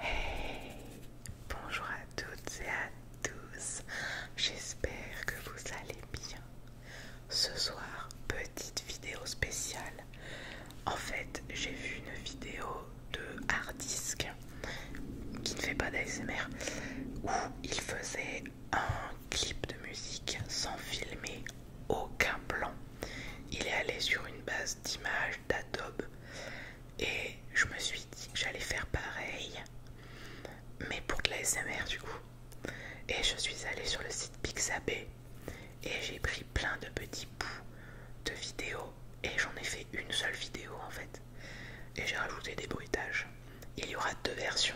Hey, bonjour à toutes et à tous, j'espère que vous allez bien. Ce soir, petite vidéo spéciale. En fait, j'ai vu une vidéo de Hardisk qui ne fait pas d'ASMR où il faisait un clip de musique sans filmer aucun plan. Il est allé sur une base d'images d'Adobe et je me suis dit que j'allais faire pareil, mais pour de la SMR du coup. Et je suis allé sur le site Pixabay et j'ai pris plein de petits bouts de vidéos et j'en ai fait une seule vidéo en fait. Et j'ai rajouté des bruitages. Il y aura deux versions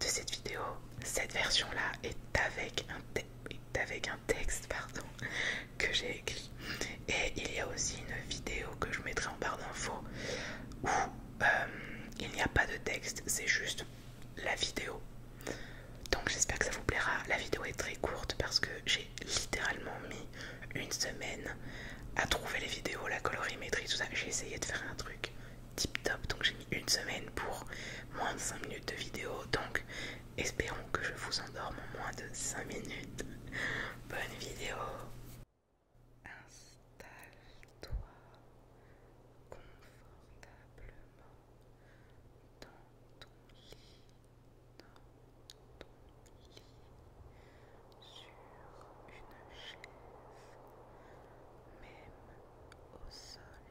de cette vidéo. Cette version là est avec un, avec un texte pardon que j'ai écrit et il y a aussi une vidéo que je mettrai en barre d'infos où euh, il n'y a pas de texte c'est juste la vidéo donc j'espère que ça vous plaira la vidéo est très courte parce que j'ai littéralement mis une semaine à trouver les vidéos la colorimétrie tout ça j'ai essayé de faire un truc tip top donc j'ai mis une semaine pour moins de 5 minutes de vidéo donc Espérons que je vous endorme en moins de 5 minutes. Bonne vidéo. Installe-toi confortablement dans ton lit, dans ton lit, sur une chaise, même au sol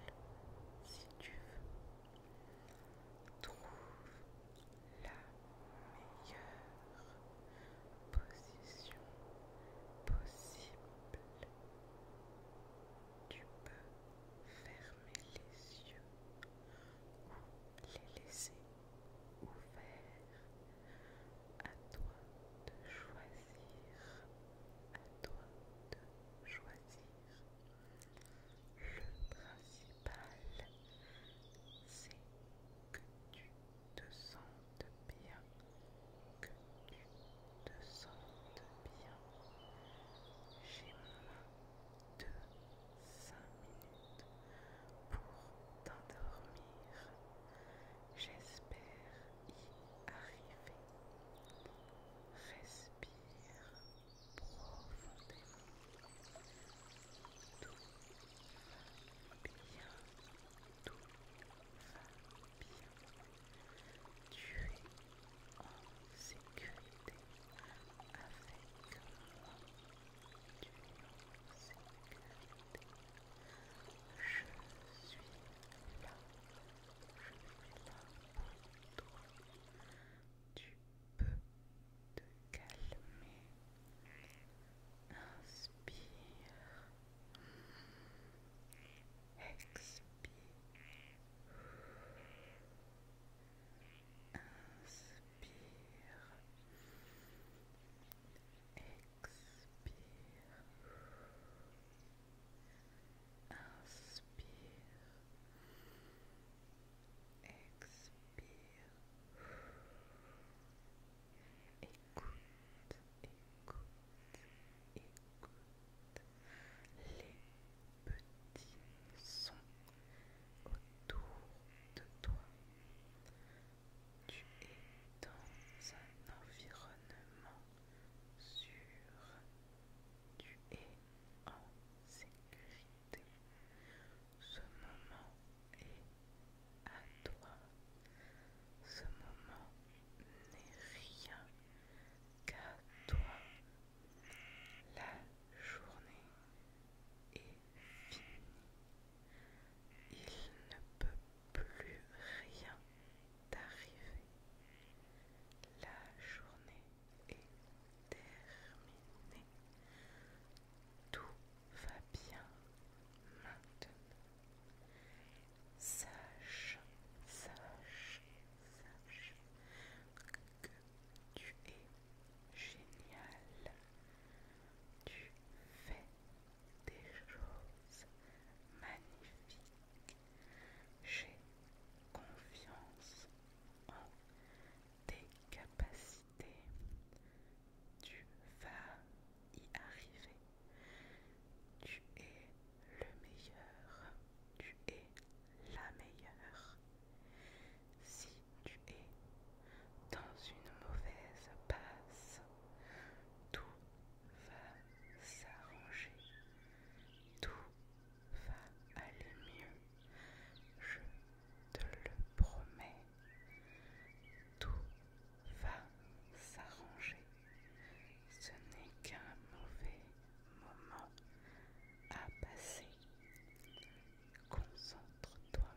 si tu veux. Trouve la meilleure position possible. Tu peux fermer les yeux ou les laisser ouverts. À toi de choisir. À toi de choisir. Le principal, c'est que tu te sentes bien, que tu te sens bien. J'ai moins de 5 minutes pour t'endormir. J'espère y arriver. Respire bien, tout va bien. Tu es en sécurité avec moi. Tu es en Je suis là. Je suis là pour toi tu peux te calmer. Inspire. Expire. Inspire. Expire. Inspire expire. Écoute, écoute, écoute les petits sont autour de toi. Tu es dans un environnement sûr. Tu es en sécurité. Ce moment est à toi. Ce moment n'est rien qu'à toi. La journée est finie. Il ne peut plus rien t'arriver. La journée est terminé. Tout va bien maintenant. Sache, sache, sache que tu es génial. Tu fais des choses magnifiques. J'ai confiance en tes capacités. Tu vas y arriver. Tu es le meilleur. Tu es la meilleure. Si tu es dans une mauvaise passe, tout va s'arranger. Tout va aller mieux, je te le promets. Tout va s'arranger. Ce n'est qu'un mauvais moment à passer. Concentre-toi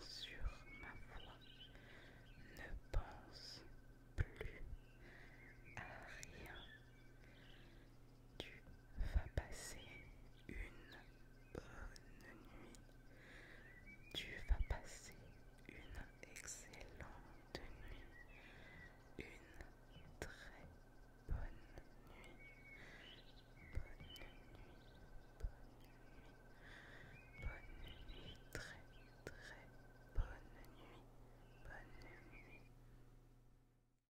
sur ma voix. Ne pense plus à rien. Tu vas passer une bonne nuit. Tu vas passer une excellente nuit. Une très bonne nuit. Bonne nuit. Bonne nuit. Bonne nuit. Très très bonne nuit. Bonne nuit.